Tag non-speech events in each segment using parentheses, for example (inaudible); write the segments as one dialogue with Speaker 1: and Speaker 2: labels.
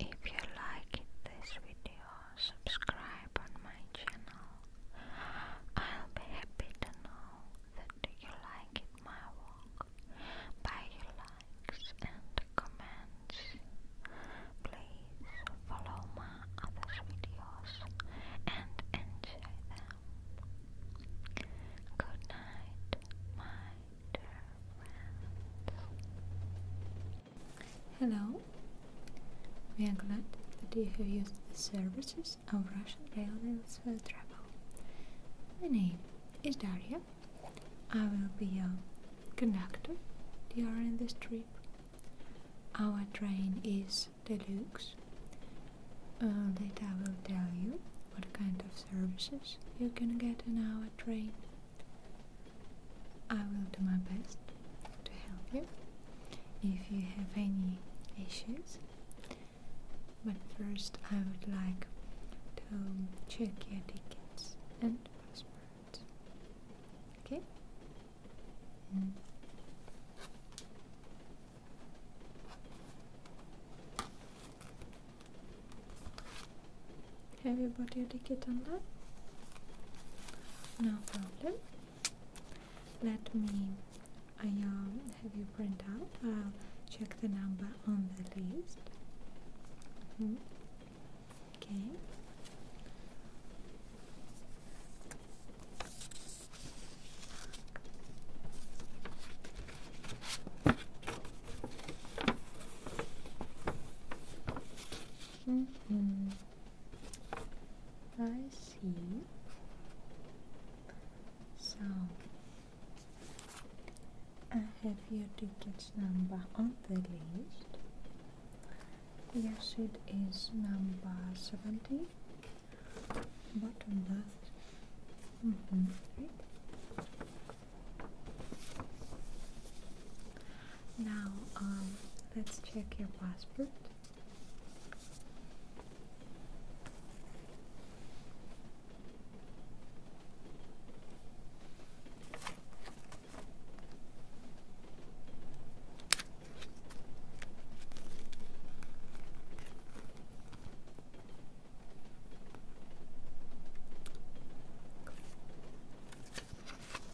Speaker 1: If you liked this video, subscribe on my channel. I'll be happy to know that you like my work by your likes and comments. Please follow my other videos and enjoy them. Good night, my Hello. We are glad that you have used the services of Russian Railways for travel. My name is Daria. I will be your conductor during this trip. Our train is deluxe. Uh, later I will tell you what kind of services you can get in our train. I will do my best to help you if you have any issues. But first, I would like to check your tickets and passport. Okay? Mm. Have you bought your ticket on that? No problem. Let me I, um, have you print out. I'll check the number on the list. Mm-hmm. Okay. Mm -hmm. I see. So I have your ticket number on the list. Your seat is number seventy. Bottom left. Mm -hmm. right. Now, um, let's check your passport.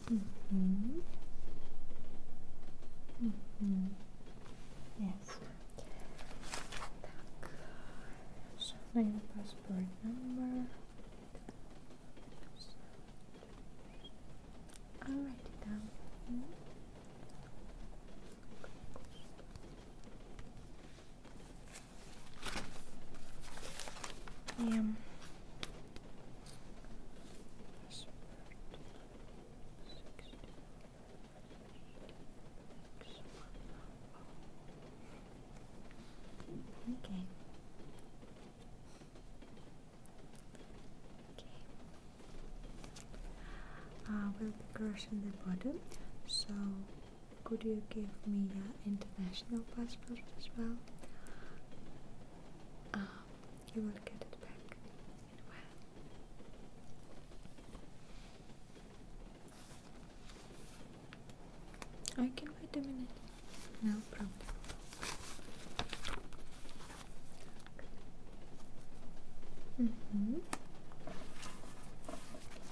Speaker 1: Mm -hmm. -hmm. Yes. Так. Шановний passport number. I'll write it down. Yeah. Okay. Okay. Uh, will be crushing the bottom, so could you give me an international passport as well? Um, you will get it back I can wait a minute. No problem. Mm -hmm.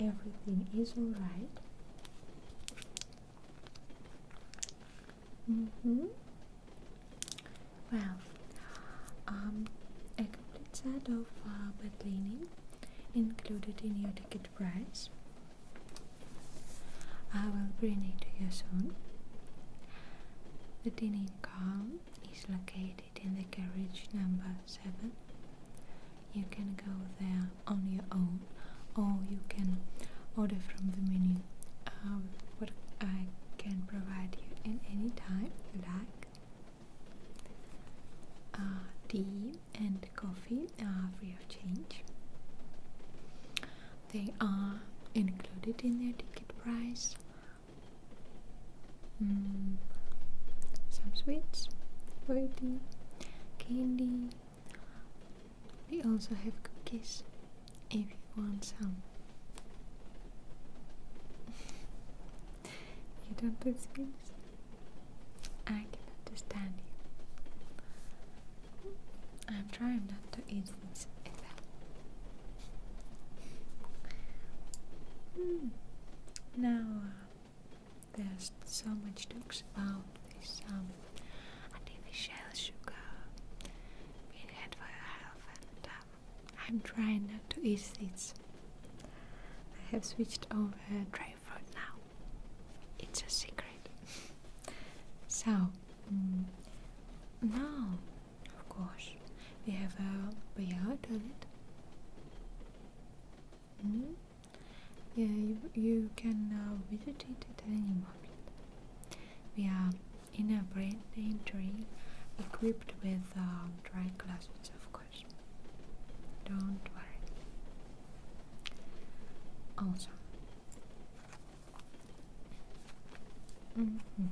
Speaker 1: Everything is all right. Mm hmm. Well, um, a complete set of uh, bed linen included in your ticket price I will bring it to you soon. The dining car is located in the carriage number 7. You can go there on your own or you can order from the menu um, what I can provide you in any time you like. Uh, and coffee are free of change. They are included in their ticket price. Mm, some sweets, fruity, candy. We also have cookies if you want some. (laughs) you don't do me? I can understand you. I'm trying not to eat things hmm. Now uh, there's so much talks about this um, artificial sugar being had for your health, and uh, I'm trying not to eat these. I have switched over dry now. It's a secret. so, mm, now, of course, we have a VR toilet. Mm? Yeah, you, can uh, visit it any moment. We are in a brand new train equipped with uh, dry glasses, of course. Don't worry. Awesome. Mm mm-hmm.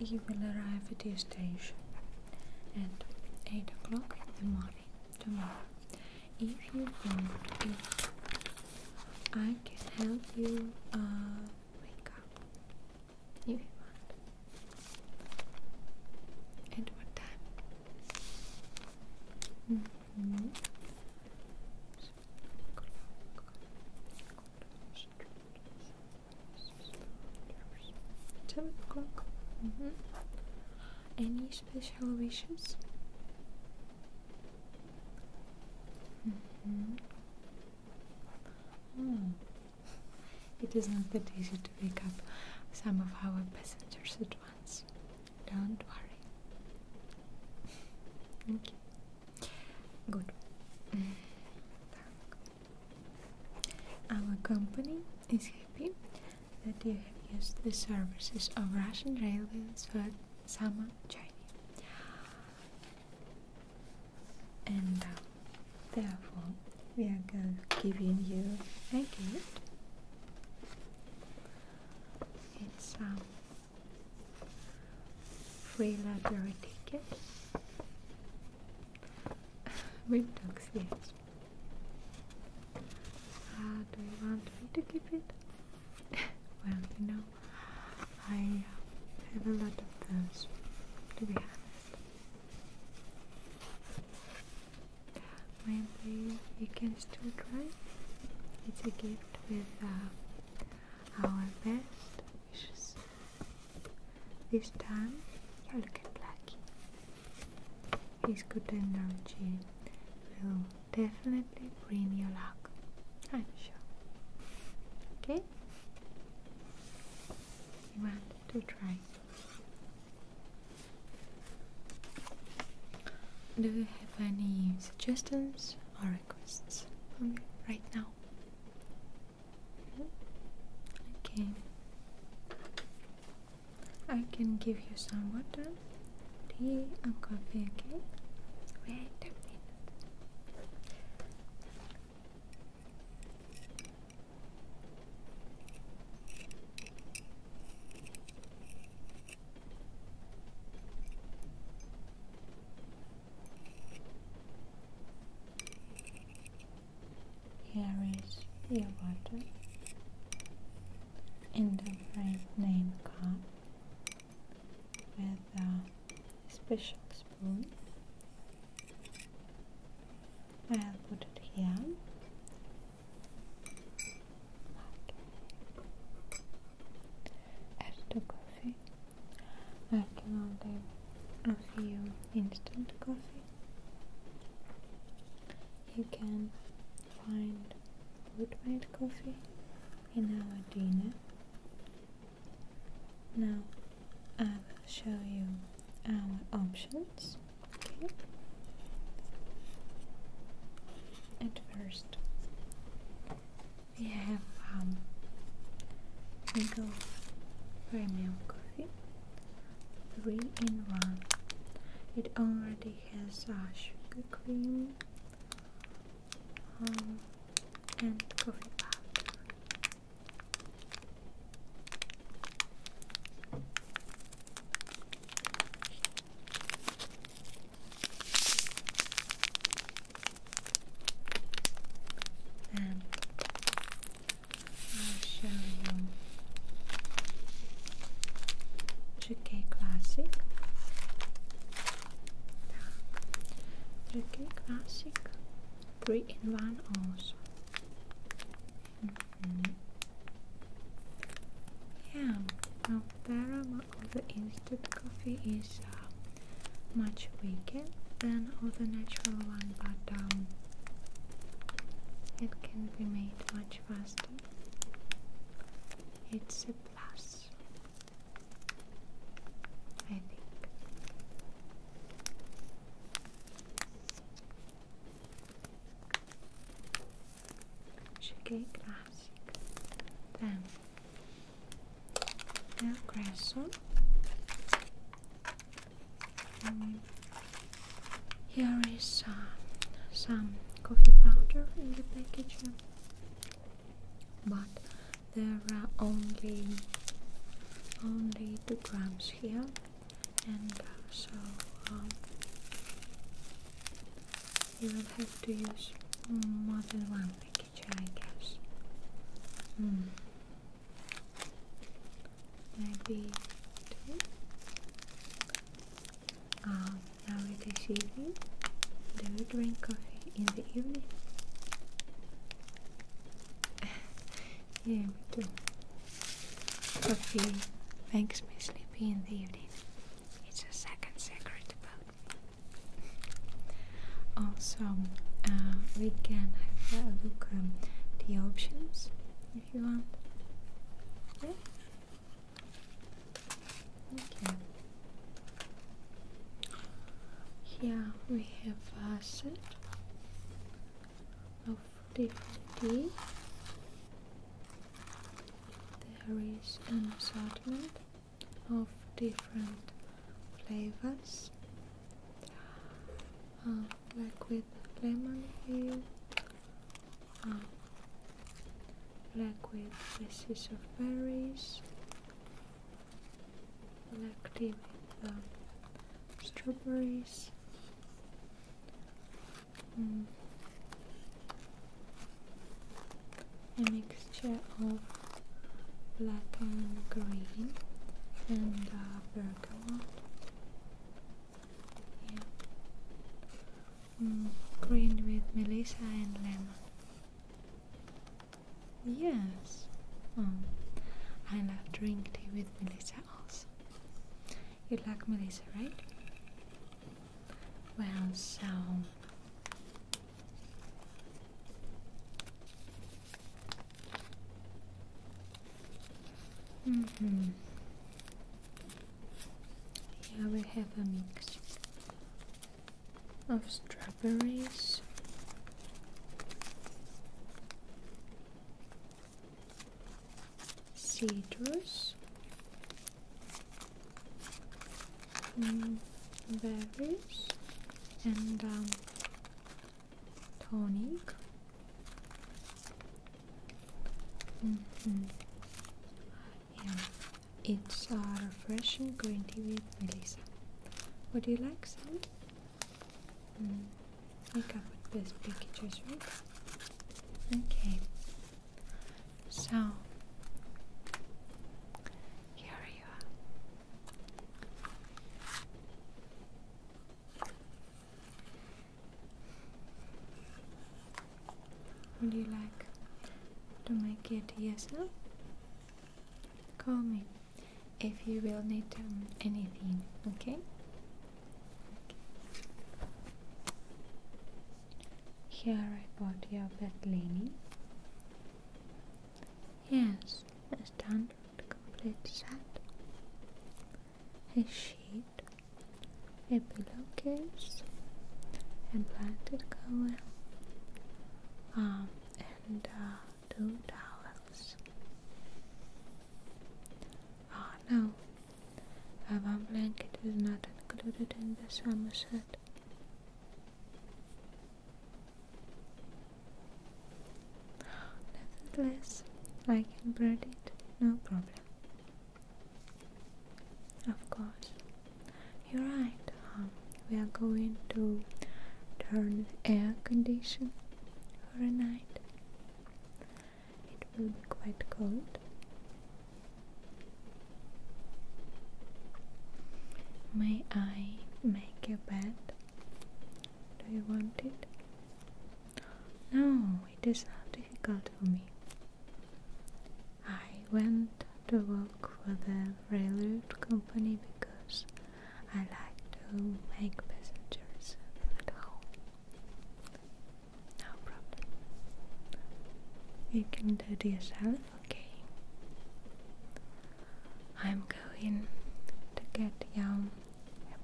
Speaker 1: You will arrive at your station at 8 o'clock in the morning tomorrow. If you want, if I can help you uh, wake up. If you want. At what time? Mm mm-hmm. o'clock. Any special wishes? Mm-hmm. Oh. It is not that easy to wake up some of our passengers different Don't worry. okay. Good. (laughs) Our company is happy that you have used the services of Russian railways for summer journey. And uh, therefore, we are going to give you a gift. It's a um, free library ticket We don't see it. do you want me to keep it? (laughs) well, you know, I have a lot of those, to be honest. Maybe you can still try. It's a gift with uh, our best wishes. This time, you look at Blackie. His good energy will definitely bring you luck. I'm sure. Okay? You want to try? Do you have any suggestions or requests right now? Okay. I can give you some water, tea and coffee, okay? Wait a minute. Here is your water in the brand name cup with a special spoon. I'll put it here. Add the I can only offer you instant coffee. You can find wood-made coffee in our dinner. Now I will show you our um, options. Okay. At first, we have um, we go premium coffee, three in one. It already has uh, sugar cream um, and coffee powder. And I'll show you Türkiye Classic. Türkiye Classic 3 in 1 also. Yeah, now there are of the instant coffee is uh, much weaker than of the natural one, but um, it can be made much faster. It's a plus, I think. Cheguei clássica. Tá. Eu cresço. Um, here is some some coffee powder in the package, but there are only only two grams here and uh, so um, you will have to use more than one package, I guess. Hmm. Maybe um, now it is evening. Do you drink coffee in the evening? (laughs) Yeah, me too. Coffee makes me sleepy in the evening. It's a second secret about me. Also, uh, we can have a look at um, the options if you want. Okay. Here we have a set of difficulty. There is an assortment of different flavors, um, like with lemon here, um, like with pieces of berries, Connecting with um, strawberries. Mm. A mixture of black and green and uh, bergamot. Mm. green with melissa and lemon. Yes. Um, I love drink tea with Melissa also. You like Melissa, right? Well, so Mm hmm. Here we have a mix of strawberries Cedrus, mm, berries, and um, tonic. Mm-hmm. Yeah, it's a uh, refreshing green tea with Melissa. Would you like some? Mm. I covered this pictures, right? Okay. So here you are. Would you like to make it yourself? Call me if you will need um, anything, okay? Here I bought your bed linen. Yes, a standard complete set. A sheet, a pillowcase, a blanket cover, um, and uh, two towels. Oh ah, no, a warm blanket is not included in the summer set. Nevertheless, I can bring it, no problem. Of course, you're right, Hum we are going to turn air condition for a night. It will be quite cold. May I make a bed? Do you want it? No, it is not difficult for me. I went to work for the railroad company because I like to make passengers at home. No problem. You can do it yourself, okay? I'm going to get your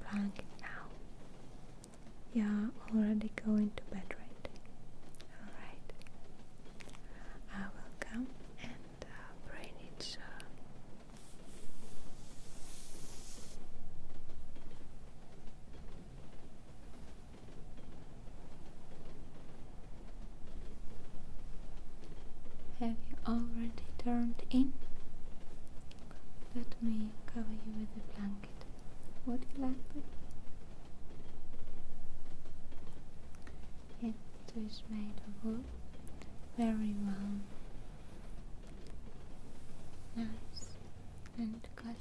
Speaker 1: blanket now. You're already going to bed, right? Alright. I will come the uh, brain itself. Uh, Have you already turned in? Let me cover you with a blanket. Would you like that? It is made of wood. Very well. Nice and classy.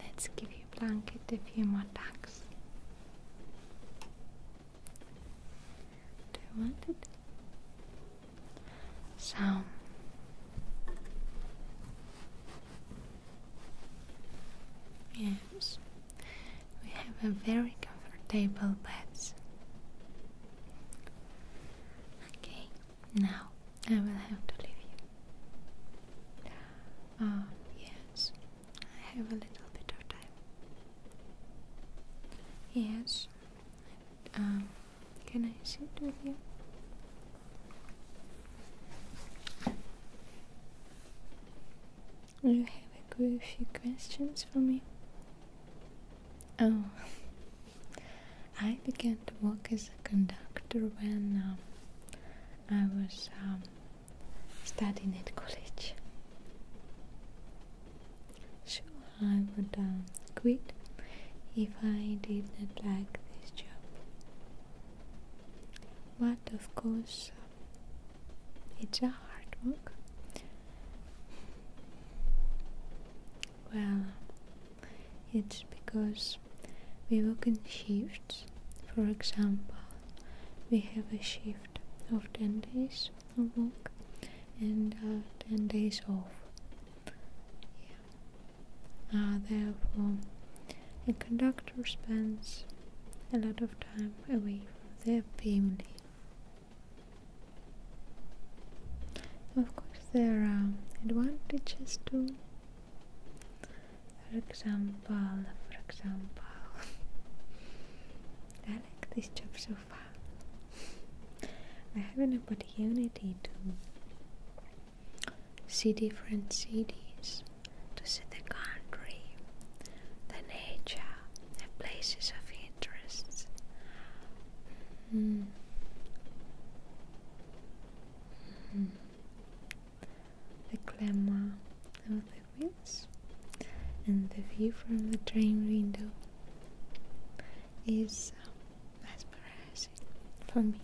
Speaker 1: Let's give your blanket a few more tucks. Do you want it? So yes, we have a very comfortable bed. Okay, now I will have to leave you. Ah, yes, I have a little bit of time. Yes, um, can I sit with you? You have a few questions for me? Oh, I began to work as a conductor when um, I was um, studying at college. Sure, I would um, quit if I did not like this job. But of course, it's a hard work. Well, it's because we work in shifts. For example, we have a shift of 10 days of work and uh, 10 days off. Uh, therefore, a conductor spends a lot of time away from their family. Of course, there are advantages too. For example, for example, (laughs) I like this job so far. I have an opportunity to see different cities, to see the country, the nature, the places of interests. Mm. The glamour of the winds, and the view from the train window is mesmerizing uh, for me.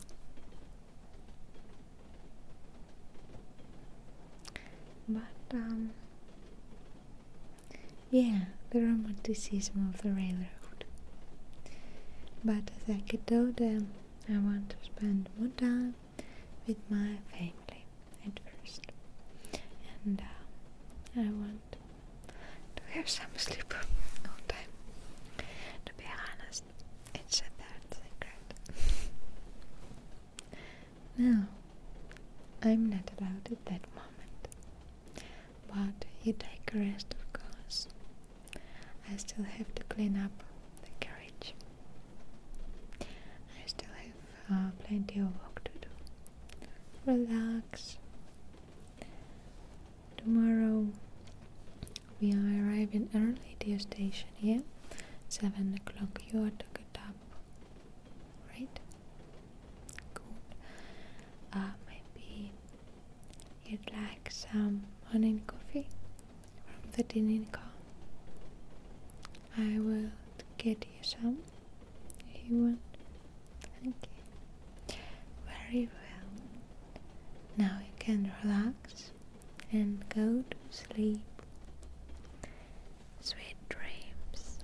Speaker 1: But um, yeah, the romanticism of the railroad. But as I get older, I want to spend more time with my family at first. And uh, I want to have some sleep all time. To be honest, it's a third secret. no, I'm not allowed at that moment. But you take a rest, of course. I still have to clean up the carriage. I still have uh, plenty of work to do. Relax. Tomorrow we are arriving early to the station, yeah? 7 o'clock. You are to get up right? Good. Uh, maybe you'd like some morning coffee from the dining car. I will get you some if you want. Thank Very well. Now you can relax and go to sleep. Sweet dreams.